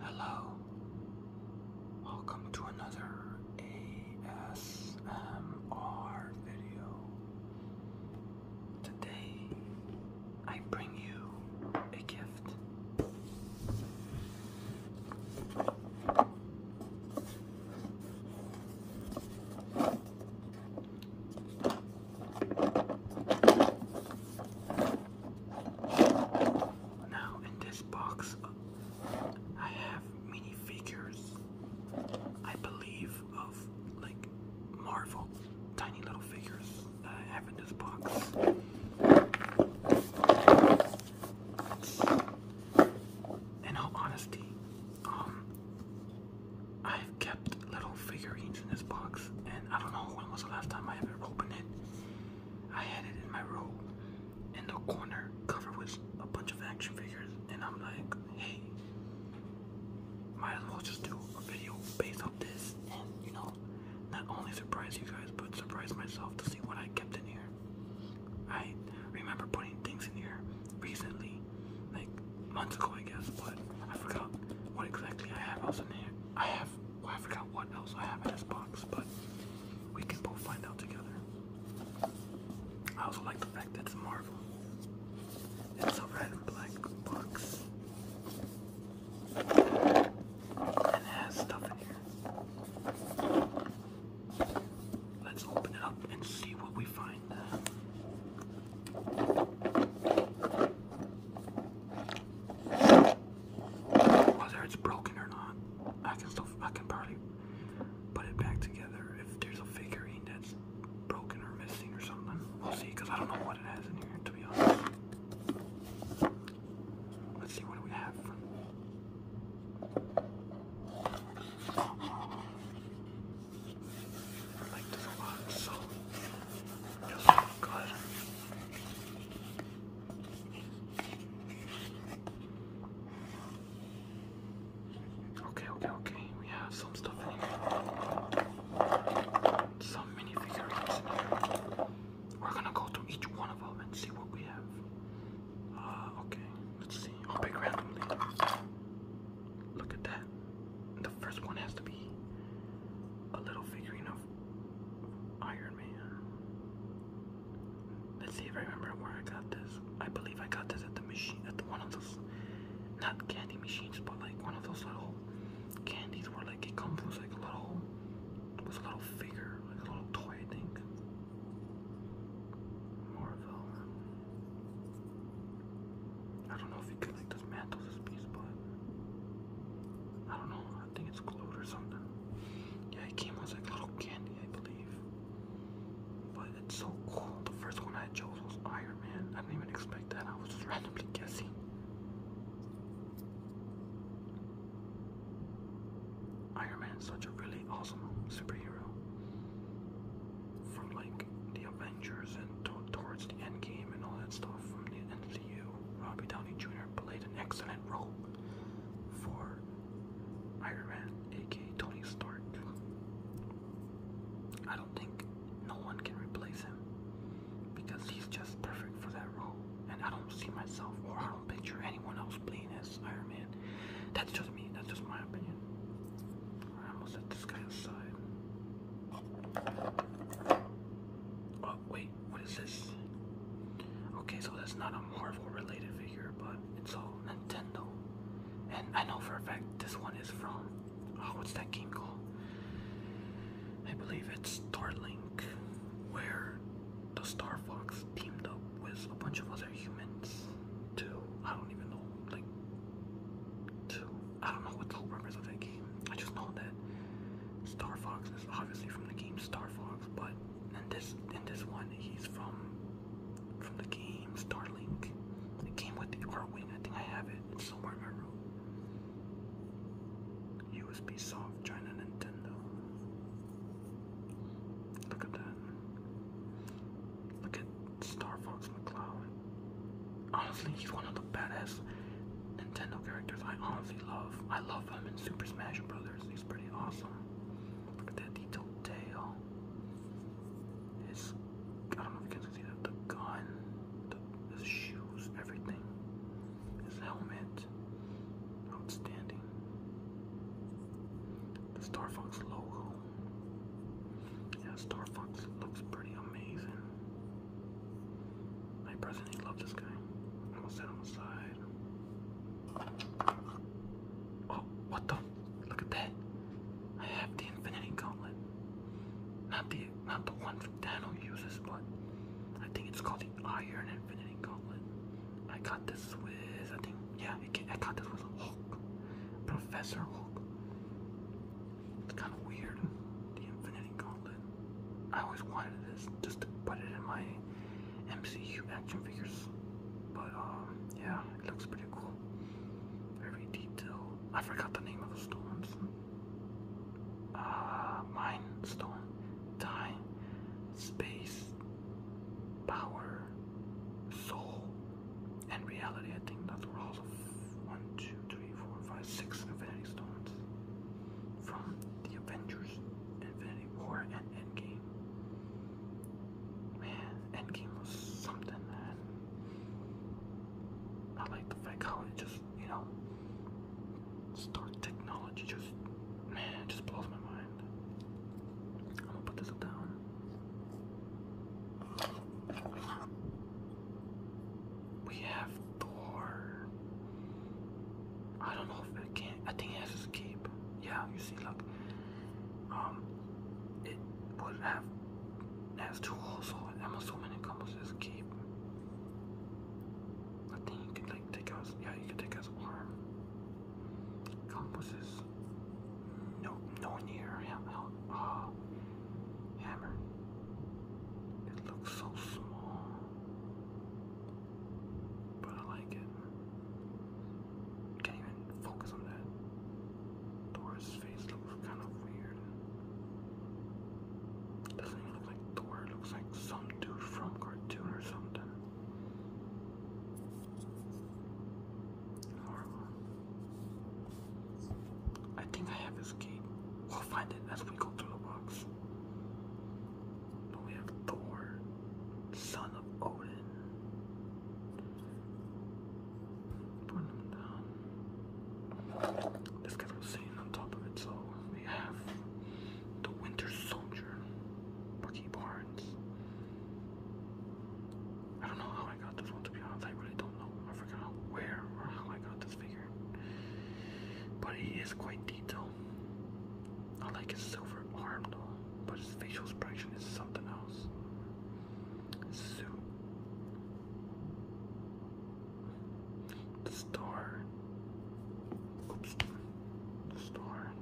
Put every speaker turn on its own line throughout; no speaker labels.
Hello. Welcome to another ASMR video. Today I bring you a gift. Now in this box, I have minifigures. I believe of like Marvel, tiny little figures that I have in this box. In all honesty, um, I've kept little figurines in this box, and I don't know when was the last time I ever opened it. I had it in my room, in the corner covered with a bunch of action figures, and I'm like, hey, might as well just do a video based off this, and you know, not only surprise you guys, but surprise myself to see what I kept in here. I remember putting things in here recently, like months ago, I guess, but I forgot what exactly I have else in here. I have, I forgot what else I have in this box, but we can both find out together. I also like the fact that it's Marvel. It's a red and black box. And it has stuff in here. Let's open it up and see what we find. Whether it's broken or not, I can still fucking probably put it back together if there's a figurine that's broken or missing or something. We'll see, because I don't know what it has in here to be honest. Let's see what we have. like this a so just go Okay, okay, okay. We have some stuff here. Some mini figurines We're gonna go through each one of them and see what we have. Uh, okay, let's see. I'll pick randomly. Look at that. The first one has to be a little figurine of Iron Man. Let's see if I remember where I got this. I believe I got this at the machine, at the, one of those, not candy machines, but like one of those little candies where like it comes with like a little, was a little figure, like a little toy, I think. Marvel. I don't know if you could like dismantle this piece, but I don't know. I think it's glowed or something. Yeah, it came as like little candy, I believe. But it's so cool. The first one I chose was Iron Man. I didn't even expect that. I was just randomly guessing. Iron Man is such a really awesome superhero. From like the Avengers and towards the end game and all that stuff from the MCU. Robbie Downey Jr played an excellent role for Iron Man, aka Tony Stark. I don't think no one can replace him because he's just perfect for that role, and I don't see myself or I don't picture anyone else playing as Iron Man. That's just me. That's just my opinion. I almost set this guy aside. Oh wait what is this? Okay, so that's not a Marvel related figure, but it's all Nintendo. And I know for a fact this one is from. Oh, what's that game I believe it's Starlink, where the Star Fox teamed up with a bunch of other humans to, I don't even know, like, to, I don't know what the whole purpose of that game. I just know that Star Fox is obviously from the game Star Fox, but in this in this one he's from from the game Star Link. It came with the R Wing, I think I have it. It's somewhere in my room. USB soft China Nintendo. Look at that. Look at Star Fox McCloud. Honestly, he's one of the badass Nintendo characters I honestly love. I love them in Super Smash Brothers. He's pretty awesome. Look at that detailed tail. His, I don't know if you can see that, the gun, the, his shoes, everything. His helmet, outstanding. The Star Fox logo. Yeah, Star Fox looks pretty amazing. I personally love this guy. I'm gonna set him aside. Oh, what the? Look at that. I have the Infinity Gauntlet. Not the not the one that Dano uses, but I think it's called the Iron Infinity Gauntlet. I got this with I think yeah, I got this with Hulk, Professor Hulk. It's kind of weird, the Infinity Gauntlet. I always wanted this just to put it in my MCU action figures. But um yeah, it looks pretty cool. Very detailed. I forgot the name of the stones. Uh mine stone. Time space power soul and reality. I think that's all the one, two, three, four, five, six infinity stones from the Avengers, Infinity War, and Endgame. Man, Endgame was something, I like the fact how it just, you know, Star technology just, man, just blows my mind. I'm gonna put this down we have Thor. I don't know if it can. I think it has his cape. Yeah, you see, look. Um, it would have it has two holes, so I'm assuming it comes with his cape. I think you could like take out. His, yeah, you could take out his arm. Comes with his no no near hammer. Uh, hammer. It looks so small. But I like it. Can't even focus on that. Thor's face looks kind of weird. Doesn't look like Thor, looks like some dude from cartoon or something. Horrible. I think I have his key. We'll find it as we go through the box we have Thor, son of Odin. Putting him down. This guy was sitting on top of it, so we have the Winter Soldier, Bucky Barnes. I don't know how I got this one to be honest, I really don't know. I forgot where or how I got this figure. But he is quite detailed. I like his silver arm though, but his facial expression is something else. Suit. star. Oops. star.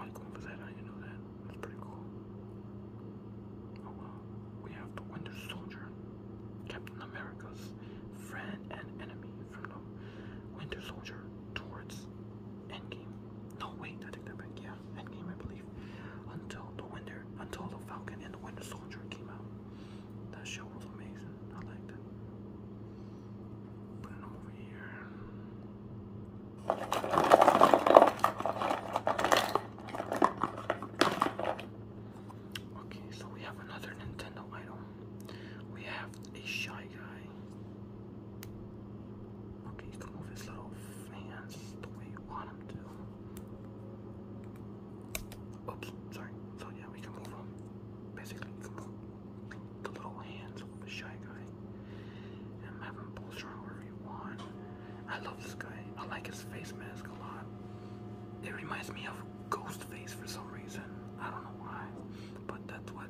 I'm going for that. I didn't know that. That's pretty cool. Oh wow. We have the Winter Soldier. Captain America's friend and enemy from the Winter Soldier towards Endgame. No, wait, I take that back. Yeah, Endgame, I believe. Until the Winter, until the Falcon and the Winter Soldier came out. That show was amazing. I liked it. Putting them Okay, so we have another Nintendo item. We have a shy guy. Okay, you can move his little hands the way you want him to. Oops, sorry. So yeah, we can move him. Basically, move the little hands of the shy guy. And have him bolster however you want. I love this guy. I like his face mask a lot it reminds me of Ghostface for some reason. I don't know why, but that's what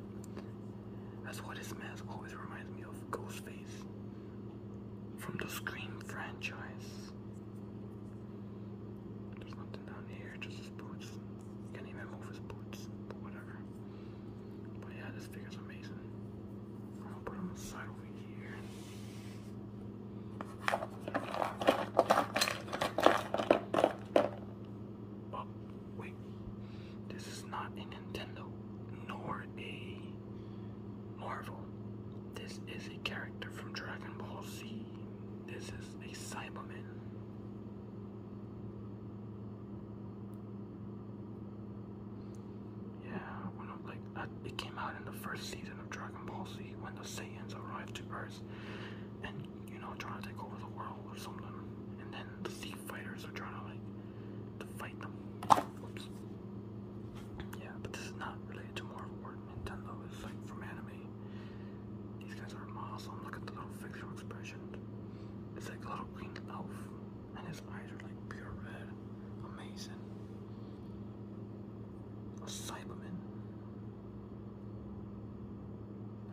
that's what his mask always reminds me of. Ghostface from the Scream franchise. There's nothing down here, just boots. Can't even move his boots, whatever. But yeah, this figure's amazing. I'll put him aside over here. Oh, wait. This is not a Nintendo nor a Marvel. This is a character from Dragon Ball Z. This is a Cyberman. Yeah, I wanna play it came out in the first season of Dragon Ball Z when the Saiyans arrived to Earth and you know trying to take over the world or something. And then the Sea Fighters are trying to like to fight them. Yeah, but this is not related to Marvel or Nintendo. It's like from anime. These guys are awesome. Look at the little facial expression. It's like a little green elf, and his eyes are like pure red. Amazing. A Cyberman.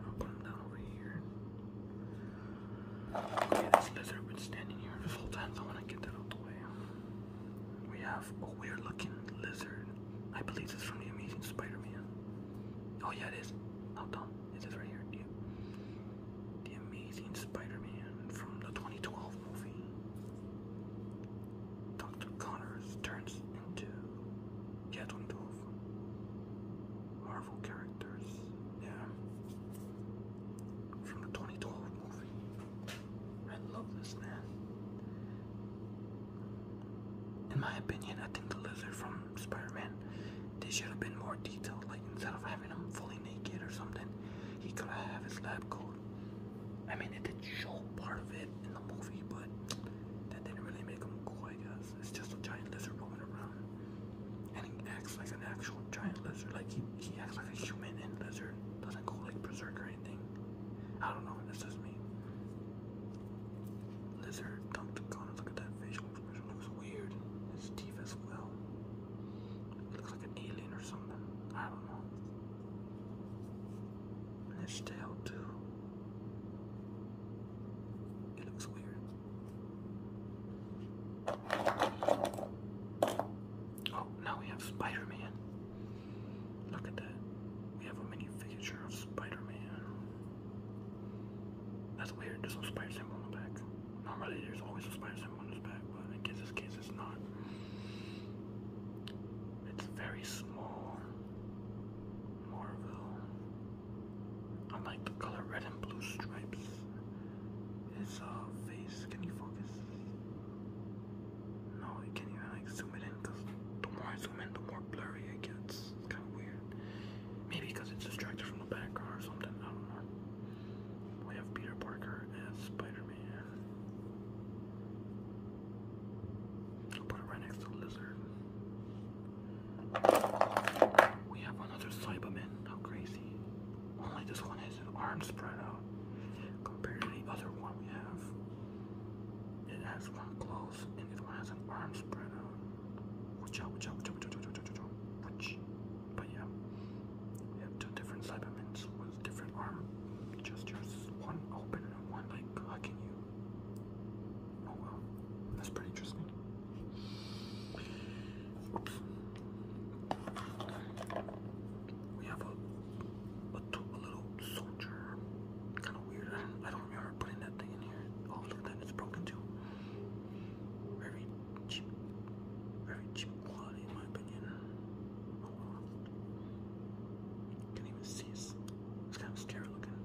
I'm put him down over here. Okay, this lizard been standing here this whole time, I wanna get that out the way. We have a weird looking lizard. I believe this is from the Amazing Spider-Man. Oh yeah, it is. How It is right here. The, the Amazing Spider-Man from the 2012 movie. Dr. Connors turns into yet one Marvel characters. Yeah. From the 2012 movie. I love this man. In my opinion, I think the lizard from Spider-Man, they should have been more detailed. Like instead of having him fully naked or something, he could have his lab coat I mean, it did show part of it in the movie, but that didn't really make him cool, I guess. It's just a giant lizard roaming around. And he acts like an actual giant lizard. Like, he, he acts like a human and lizard. Doesn't go like berserk or anything. I don't know, that's just me. Lizard dumped Connor. Look at that facial expression. Looks weird. His teeth as well. looks like an alien or something. I don't know. And his tail too. It looks weird. Oh, now we have Spider-Man. Look at that. We have a mini figure of Spider-Man. That's weird, there's no spider symbol on the back. Normally there's always a spider symbol on his back, but I guess this case it's not. It's very small. Marvel. I like the color red and blue stripes. His uh, face. Can you focus? No, can't like zoom it in because the more I zoom in, the more blurry it gets. It's kind of weird. Maybe because it's distracted from the background or something. I don't know. We have Peter Parker as Spider Man. I'll put it right next to the lizard. We have another Cyberman. How crazy. Only this one has an arm spread out compared to the other one we have. It has one and this one has an arm spread out. Watch But yeah, we have two different Cybermans different arm gestures. One open and one like hugging you. Oh, that's pretty interesting. We have a, little soldier. Kind of weird. I don't remember putting that thing in here. Oh, look at that. It's broken too. Very Very cheap quality in my opinion. Oh, can't even see his. It's kind of scary looking.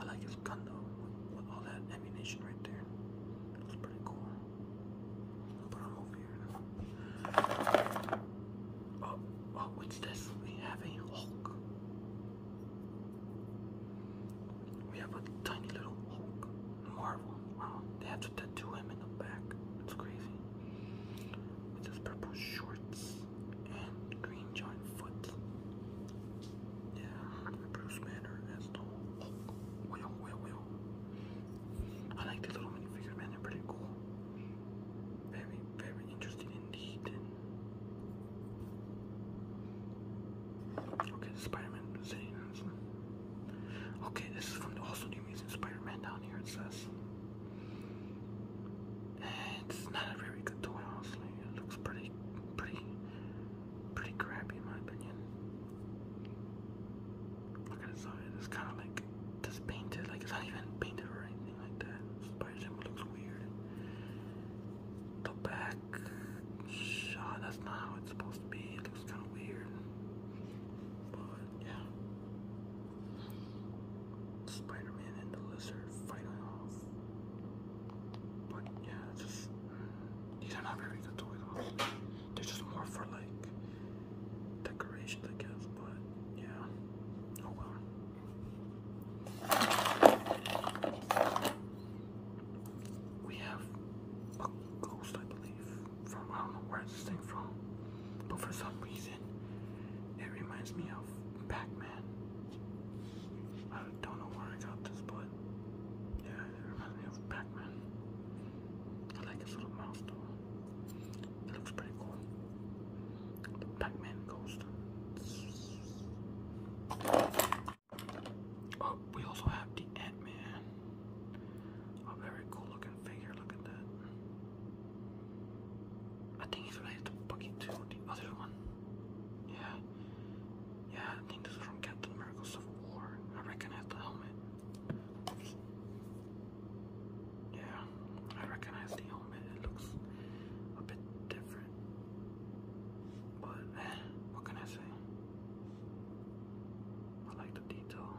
I like his gun though, with all that ammunition right there. It pretty cool. But i over here Oh, oh, what's this? We have a Hulk. We have a tiny little Hulk. Marvel. Wow, they have to tattoo him in the back. It's crazy with those purple shorts and green giant foot. Yeah, Bruce Banner as the Well, well, well. I like the little minifigures, man. They're pretty cool. Very, very interesting indeed. Okay, Spider-Man Okay, this is from also the Amazing Spider-Man down here. It says. It's not a very good toy, honestly. It looks pretty, pretty, pretty crappy, in my opinion. Look at its eye. It's kind of like just painted. Like it's not even painted or anything like that. Spider symbol looks weird. The back shot. Ah, that's not how it's supposed to be. It looks kind of weird. But yeah. Spider Man and the lizard fighting off. But yeah, just these are not very good toys, They're just more for like decorations, I guess. But yeah, oh well. We have a ghost, I believe from I don't know where this thing from, but for some reason it reminds me of Pac-Man. I don't know where I got this, but yeah, it reminds me of Pac-Man. I like his little mouse though. It looks pretty cool. Pac-Man ghost. Oh, we also have the Ant-Man. A very cool looking figure, look at that. I think it's related to Bucky 2, the other one. Yeah. Yeah, I think this is from Captain America of War. I recognize the helmet. Yeah, I recognize the helmet. It looks a bit different. But, eh, what can I say? I like the detail.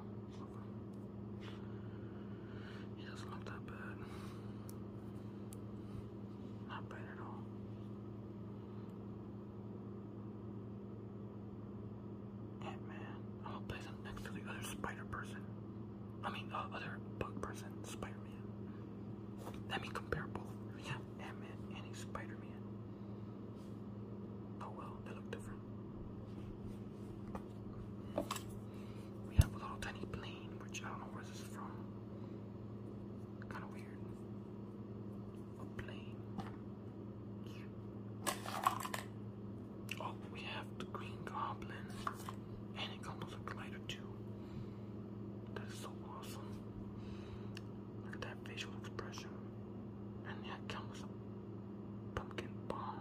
He doesn't look that bad. Not bad at all. Ant Man. I'm oh, place him next to the other spider person. I mean, uh, other bug person, Spider Man. Let me compare both. Yeah, Ant Man and Spider Man. Oh well, they look different. We have a little tiny plane, which I don't know where this is from. Kind of weird. A plane. Oh, we have the Green Goblin, and it comes with a glider too. That is so awesome. Look at that facial expression, and that comes a pumpkin bomb.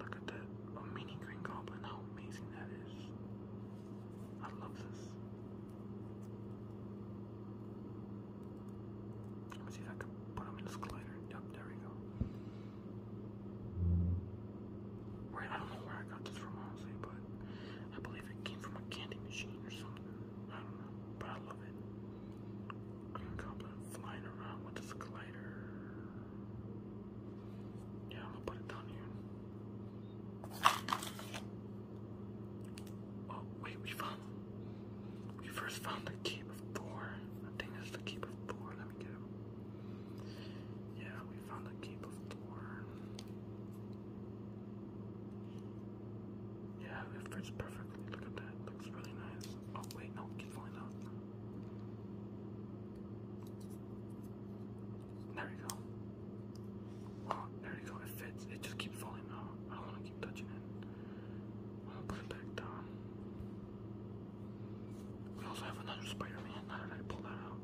Look at that. A mini green goblin. How amazing that is. I love this. Let me see if I can put him in this glider. Yep, there we go. Right, I don't know where I got this from, honestly, but I believe it came from a candy machine or something. I don't know, but I love it. Green Goblin flying around with his glider. Yeah, I'm gonna put it down here. Oh, wait, we found. We first found the Keep of Thor. I think it's the Keep of Let me get it. Yeah, we found the Keep of Thor. Yeah, it fits perfectly. Look at that. Looks really nice. Oh wait, no, keep falling down. There you go. Oh, there we go, it fits. It just keeps falling down. I want to keep touching it. I'm to put it back down. We also have another Spider-Man. How did I pull that out?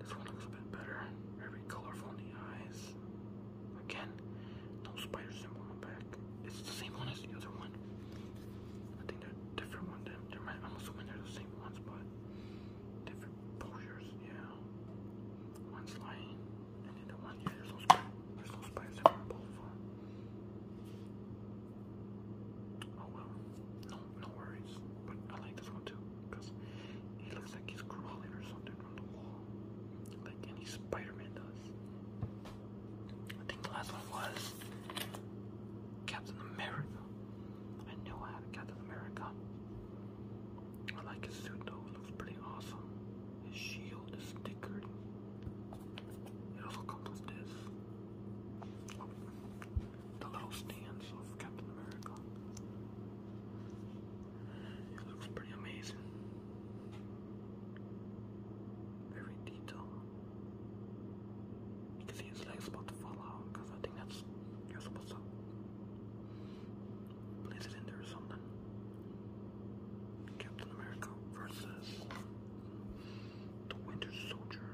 This one looks a bit better. Very colorful in the eyes. Again, no spider symbol on back. It's the same one as the other one. I think they're different ones. They're, they're, I'm assuming they're the same ones, but different posures. Yeah, one's lying, and then the one yeah, there's no spider. There's no spiders in on both of them. Oh well, no, no worries. But I like this one too because he looks like he's crawling or something from the wall, like any Spider-Man does. I think the last one was Captain America. I knew I had a Captain America. I like his suit though, it looks pretty awesome. His shield is stickered. It also comes with this. the little stands of Captain America. It looks pretty amazing very detailed. You can see his legs about to fall out because I think that's you're supposed to place it in there or something. Captain America versus the Winter Soldier.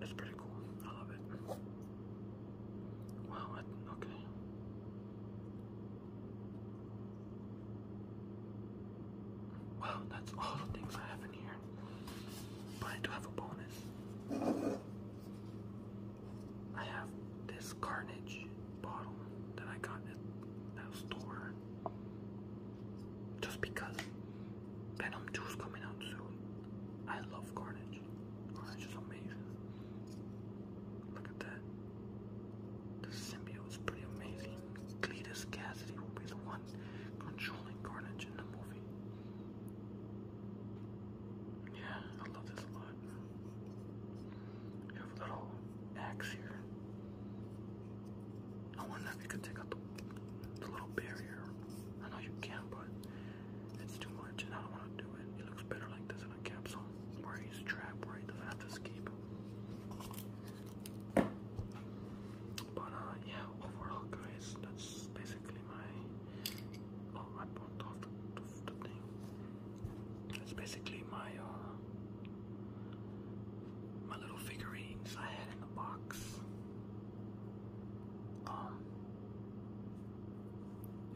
It's pretty cool. I love it. Wow. okay. Wow, that's all the things I have in here. But I do have a bonus. I have this Carnage bottle that I got at that store. Just because Venom 2 is coming out soon. I love Carnage. Carnage is amazing. Look at that. The symbiote is pretty amazing. Cletus Cassidy will be the one controlling Carnage in the movie. Yeah, I love this a lot. We have little axe here. I wonder if you could take out the little barrier. I know you can, but it's too much, and I don't want to do it. It looks better like this in a capsule. Marty's trap, right? The fast escape. But uh, yeah, overall, guys, that's basically my. Oh, I bumped off the, thing. That's basically my uh, my little figurines I had in the box. Um,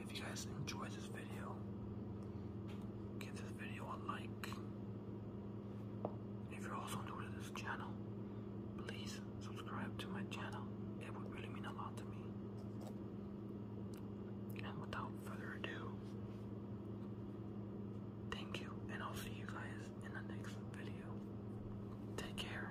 if you guys enjoyed this Give this video a like. If you're also new to this channel, please subscribe to my channel. It would really mean a lot to me. And without further ado, thank you, and I'll see you guys in the next video. Take care.